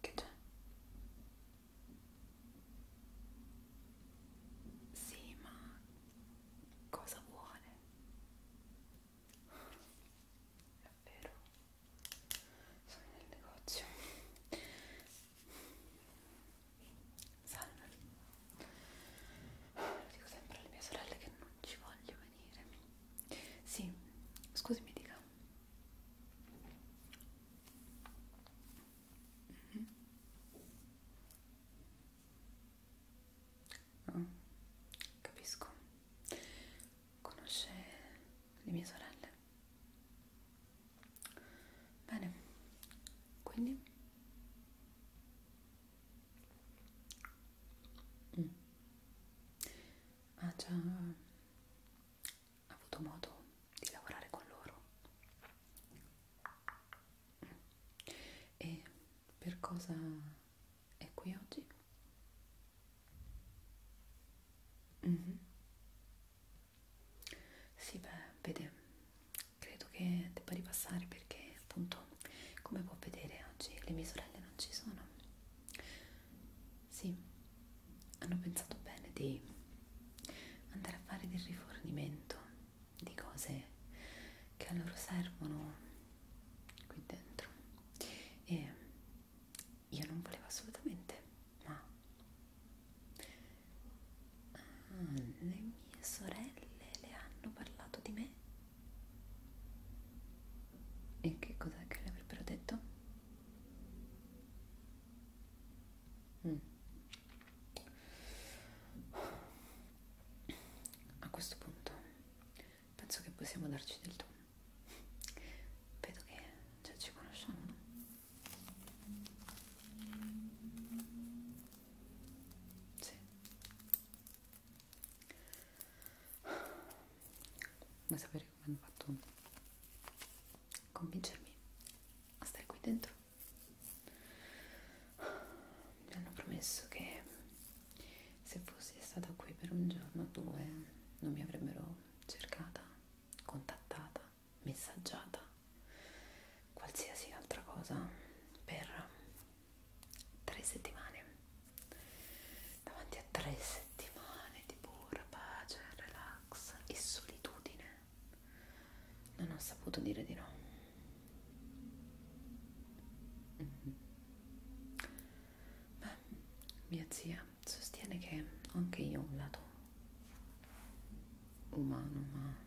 Che c'è? Sì, ma cosa vuole? È vero, sono nel negozio. Salve. Lo dico sempre alle mie sorelle che non ci voglio venire. Sì, scusami dica. Mm -hmm. oh, capisco. Conosce le mie sorelle? Bene, quindi Mm. Ha già avuto modo di lavorare con loro. Mm. E per cosa è qui oggi? Mm -hmm. Sì, beh, vede, credo che debba ripassare perché appunto come può vedere oggi le mie sorelle non ci sono sì hanno pensato bene di andare a fare del rifornimento di cose che a loro servono qui dentro e io non volevo assolutamente ma Ah, le mie sorelle le hanno parlato di me? E che cos'è che le avrebbero detto? Mm. A questo punto penso che possiamo darci del tu. Vedo che già ci conosciamo, no? Sì, vuoi sapere come hanno fatto convincermi a stare qui dentro? Mi hanno promesso che se fossi stata qui per un giorno o due non mi avrebbero cercata, contattata, messaggiata, qualsiasi altra cosa per tre settimane davanti a tre settimane di pura pace, relax e solitudine non ho saputo dire di no mhm. beh, mia zia sostiene che anche io ho un lato umano ma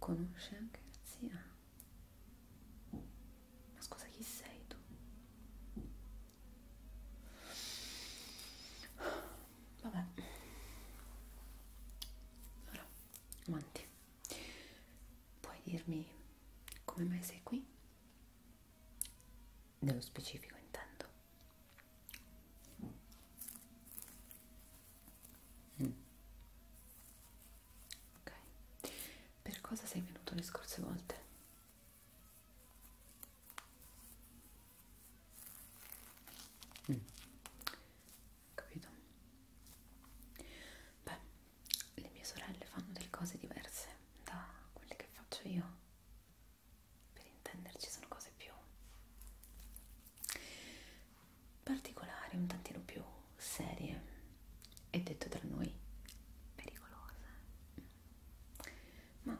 Conosce anche la zia? Ma scusa, chi sei tu? Vabbè. Allora, avanti. Puoi dirmi come mai sei qui? Nello specifico intendo. Mm. Ok, per cosa sei venuto le scorse volte? Mm. Capito? Beh, le mie sorelle fanno delle cose diverse da quelle che faccio io per intenderci sono cose più particolari, un tantino più serie e detto tra noi pericolose. Ma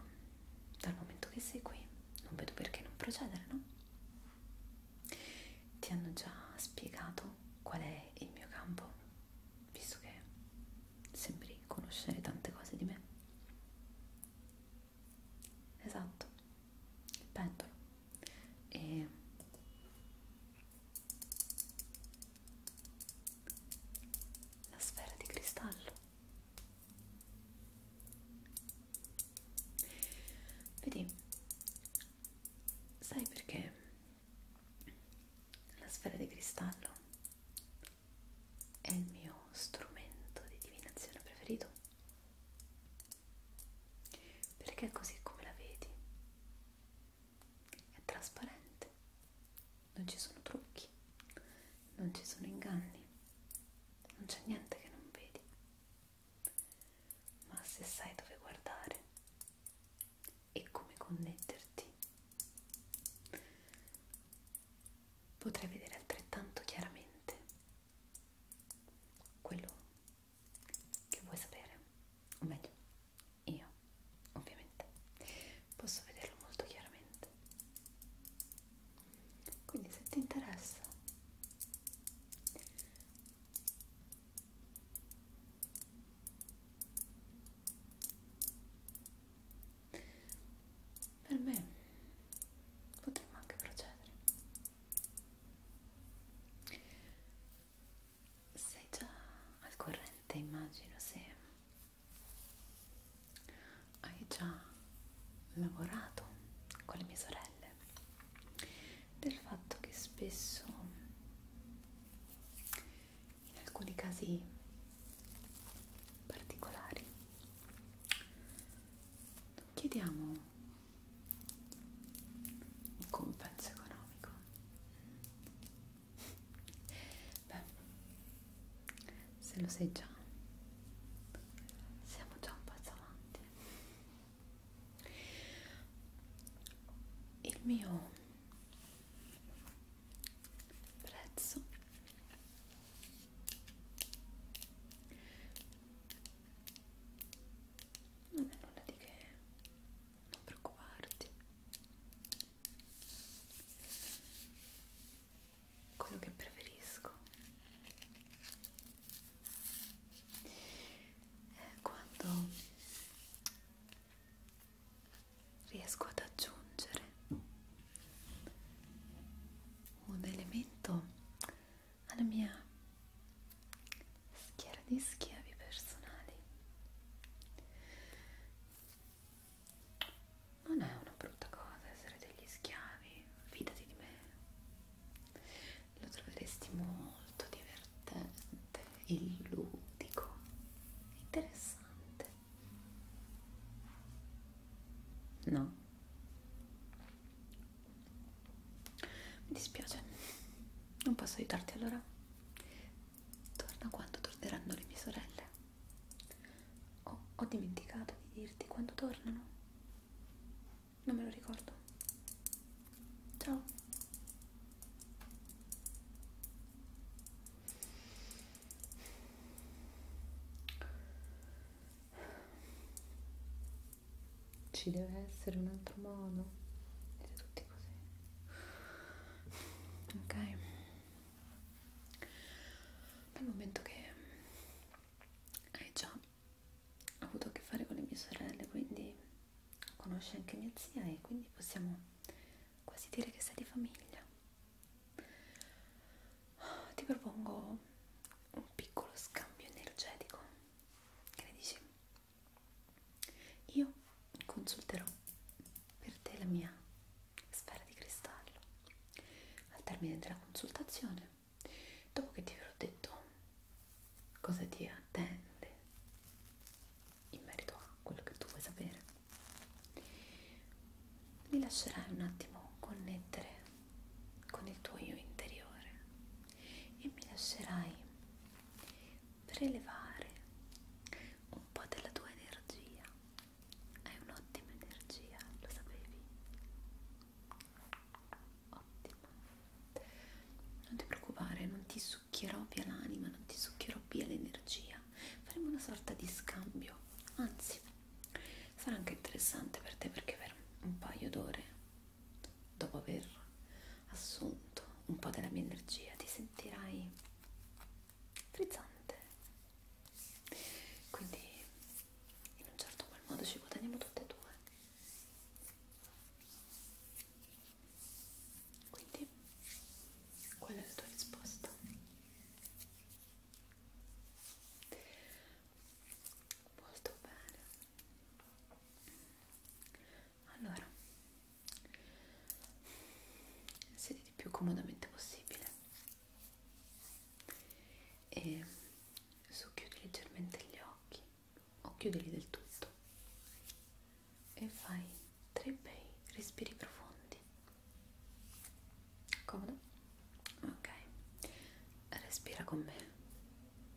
dal momento che sei qui non vedo perché non procedere, no? Ti hanno già spiegato qual è il mio campo, visto che sembri conoscere tante cose di me. Esatto il pendolo e la sfera di cristallo vedi sai perché la sfera di cristallo è il mio strumento di divinazione preferito perché così come la vedi è trasparente, non ci sono trucchi, non ci sono inganni, non c'è niente che non vedi, ma se sai dove guardare e come connetterti, potrai vedere altrettanto chiaramente quello che vuoi sapere, o meglio, io ovviamente posso vederlo molto chiaramente. Quindi se ti interessa per me potremmo anche procedere sei già al corrente, immagino, se hai già lavorato con le mie sorelle del fatto che spesso in alcuni casi particolari chiediamo un compenso economico beh se lo sai già siamo già un passo avanti il mio prezzo non è nulla di che non preoccuparti quello che preferisco è quando riesco ad aggiungere un elemento alla mia schiera di schiavi personali. Non è una brutta cosa essere degli schiavi, fidati di me. Lo troveresti molto divertente, il ludico, interessante. No? Mi dispiace, non posso aiutarti allora. Torna quando torneranno le mie sorelle. Oh, ho dimenticato di dirti quando tornano. Non me lo ricordo. Ciao ci deve essere un altro modo siete tutti così ok dal momento che hai già avuto a che fare con le mie sorelle quindi conosci anche mia zia e quindi possiamo quasi dire che sei di famiglia ti propongo un piccolo scambio energetico che ne dici? io consulterò per te la mia sfera di cristallo al termine della consultazione dopo che ti avrò detto cosa ti attende in merito a quello che tu vuoi sapere mi lascerai un attimo connettere con il tuo io interiore e mi lascerai prelevare un po' della tua energia. Hai un'ottima energia, lo sapevi? Ottimo. Non ti preoccupare, non ti succhierò via l'anima, non ti succhierò via l'energia. Faremo una sorta di scambio. Anzi, sarà anche interessante per te perché per un paio d'ore dopo aver assunto un po' della mia energia, ti sentirai frizzante. Quindi in un certo qual modo ci guadagniamo tutte e due. Quindi qual è la tua risposta? Molto bene allora sediti più comodamente possibile e socchiudi leggermente gli occhi o chiudili del tutto e fai tre bei respiri profondi comodo ok respira con me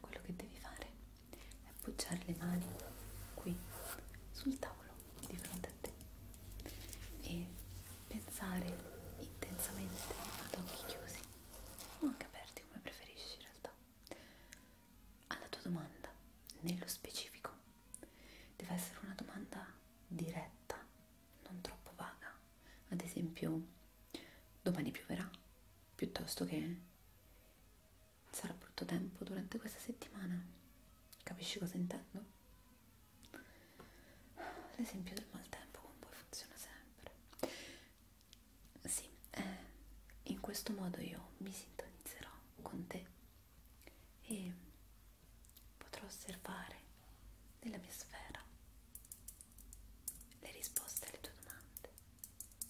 quello che devi fare è appoggiare le mani qui sul tavolo di fronte a te e pensare intensamente ad occhi chiusi o anche aperti come preferisci in realtà alla tua domanda nello specifico deve essere una domanda diretta non troppo vaga ad esempio domani pioverà piuttosto che sarà brutto tempo durante questa settimana. Capisci cosa intendo? L'esempio del maltempo con voi funziona sempre. Sì, eh, in questo modo io mi sintonizzerò con te e potrò osservare nella mia sfera le risposte alle tue domande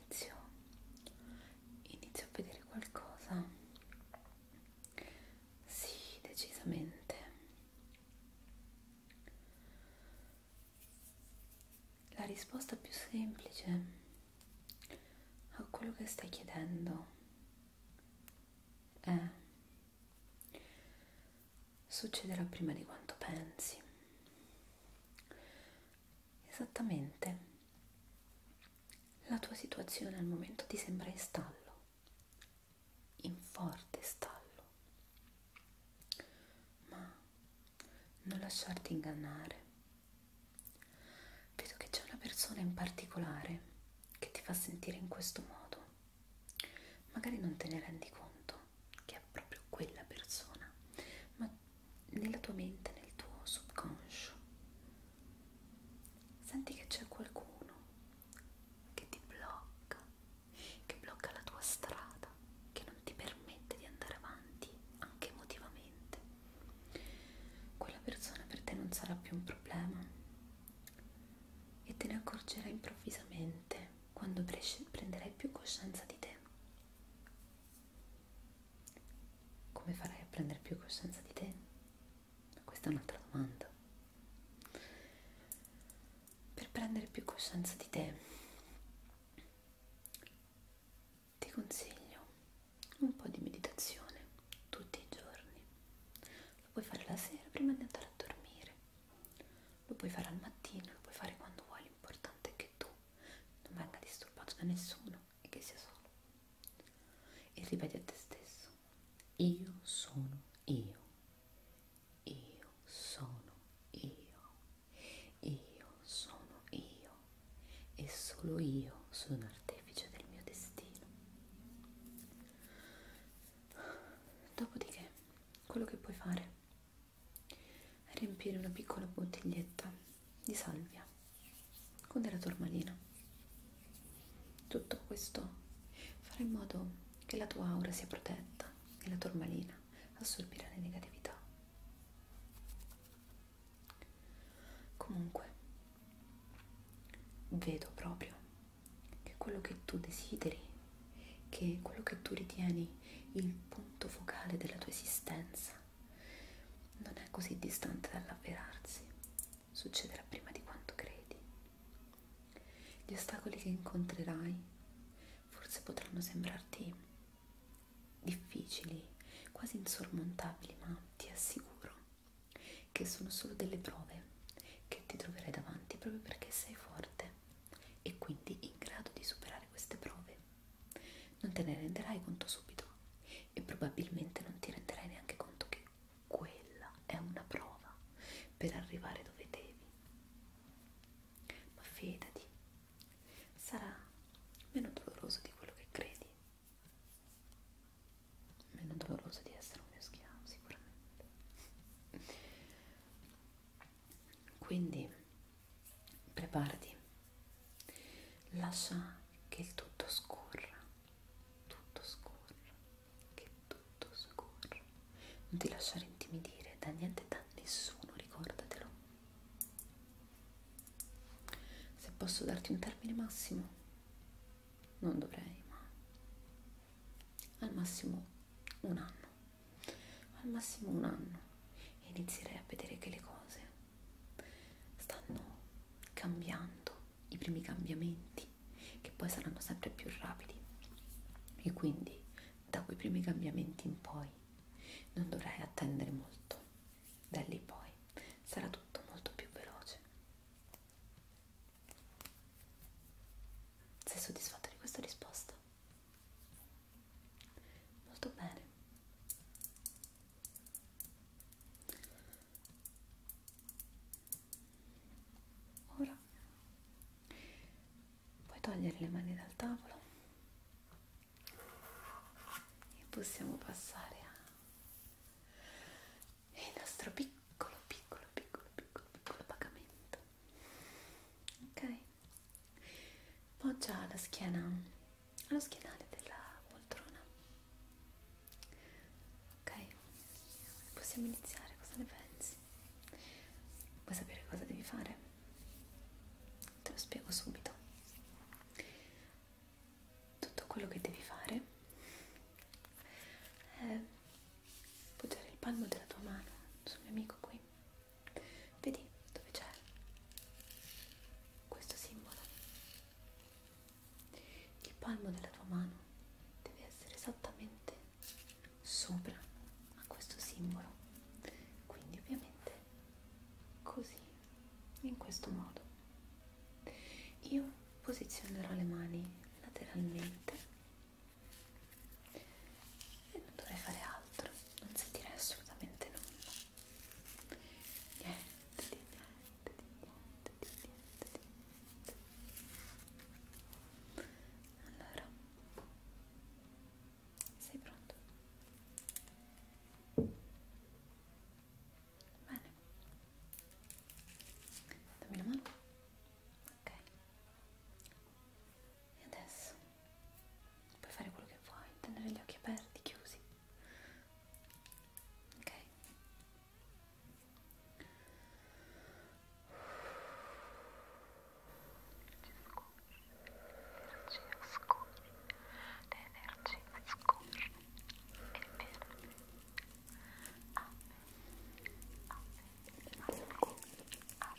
inizio, inizio a vedere qualcosa sì decisamente la risposta più semplice a quello che stai chiedendo è succederà prima di quanto pensi. Esattamente. La tua situazione al momento ti sembra in stallo, in forte stallo. Ma non lasciarti ingannare. Vedo che c'è una persona in particolare che ti fa sentire in questo modo magari non te ne rendi conto che è proprio quella persona, ma nella tua mente, nel tuo subconscio, senti che c'è qualcuno che ti blocca, che blocca la tua strada, che non ti permette di andare avanti anche emotivamente. Quella persona per te non sarà più un problema e te ne accorgerai improvvisamente quando prenderai più coscienza di te. Come farai a prendere più coscienza di te? Questa è un'altra domanda. Per prendere più coscienza di te ti consiglio un po' di meditazione tutti i giorni. Lo puoi fare la sera prima di andare a dormire, lo puoi fare al mattino, lo puoi fare quando vuoi, l'importante è che tu non venga disturbato da nessuno e che sia solo. E ripeti a te stesso, io sono io, io sono io, io sono io e solo io sono l'artefice del mio destino. Dopodiché quello che puoi fare è riempire una piccola bottiglietta di salvia con della tormalina. Tutto questo farà in modo che la tua aura sia protetta e la tormalina assorbirà le negatività. Comunque, vedo proprio che quello che tu desideri, che quello che tu ritieni il punto focale della tua esistenza non è così distante dall'avverarsi, succederà prima di quanto credi. Gli ostacoli che incontrerai forse potranno sembrarti difficili, quasi insormontabili, ma ti assicuro che sono solo delle prove che ti troverai davanti proprio perché sei forte e quindi in grado di superare queste prove. Non te ne renderai conto subito e probabilmente non ti renderai neanche conto che quella è una prova per arrivare dove devi. Ma fidati, sarà meno doloroso di quello che credi, meno doloroso di essere un mio schiavo sicuramente. Quindi preparati, lascia che il tutto scorra, tutto scorra, che tutto scorra. Non ti lasciare intimidire da niente, da nessuno, ricordatelo. Se posso darti un termine massimo, non dovrei, ma al massimo un anno al massimo un anno e inizierei a vedere che le cose stanno cambiando, i primi cambiamenti che poi saranno sempre più rapidi e quindi da quei primi cambiamenti in poi non dovrai attendere molto, da lì poi sarà tutto molto più veloce. Sei soddisfatto di questa risposta? molto bene ora puoi togliere le mani dal tavolo e possiamo passare al nostro piccolo piccolo piccolo piccolo piccolo pagamento ok poggia la schiena allo schienale della poltrona ok possiamo iniziare cosa ne pensi vuoi sapere cosa devi fare te lo spiego subito tutto quello che devi fare è poggiare il palmo della tua mano sul mio amico qui Vedi dove c'è questo simbolo? Il palmo della tua mano deve essere esattamente sopra a questo simbolo, quindi ovviamente così, in questo modo. Io posizionerò le mani lateralmente e non dovrai fare altro, non sentirai assolutamente nulla. Niente di niente di niente di niente di niente. Allora, sei pronto? Bene, dammi la mano. Ok, e adesso puoi fare quello che vuoi, tenere gli occhi aperti, chiusi. Ok? L'energia scorre, l'energia scorre, è vero, amen, amen, amen, amen,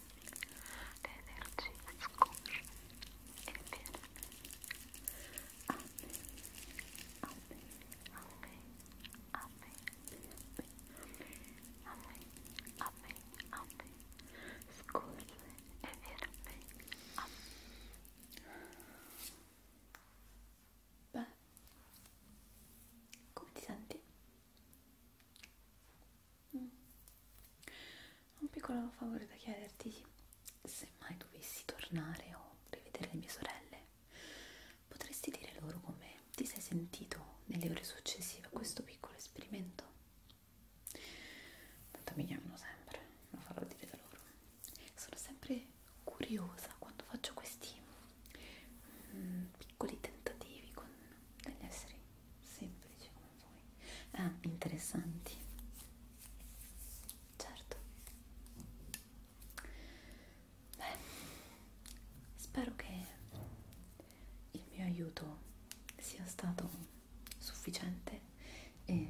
le energie scorre e viene a me, a me, a me, a me, a me, a me, a me, scorre e viene a me, a me. Beh, come ti senti? Mm. Un piccolo favore da chiederti, se mai dovessi tornare o rivedere le mie sorelle, potresti dire loro come ti sei sentito nelle ore successive a questo piccolo esperimento? Tanto mi chiamano sempre, lo farò dire da loro. Sono sempre curiosa quando faccio questi mm, piccoli tentativi con degli esseri semplici come voi, ah, interessanti, certo. Beh, spero che il mio aiuto sia stato sufficiente e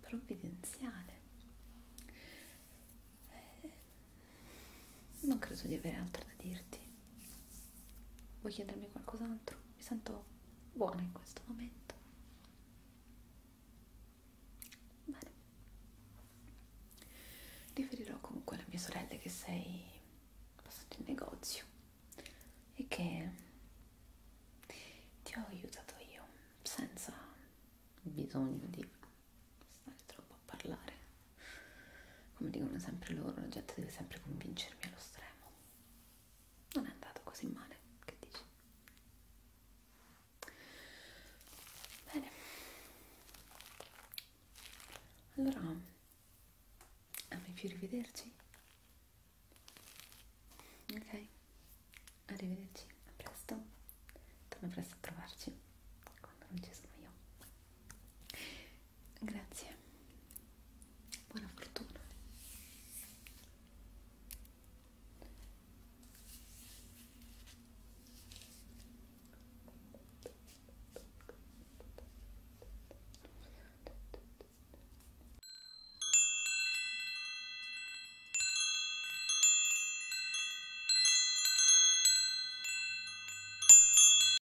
provvidenziale. Eh, non credo di avere altro da dirti. Vuoi chiedermi qualcos'altro? Mi sento buona in questo momento. Bene. Riferirò comunque alle mie sorelle che sei passato in negozio e che ti ho aiutato io senza bisogno di stare troppo a parlare come dicono sempre loro, la gente deve sempre convincermi allo stremo. Non è andato così male, che dici? Bene. Allora, ami più rivederci? Ok, arrivederci, a presto. Torna presto a trovarci quando non ci sono io. Grazie, buona fortuna.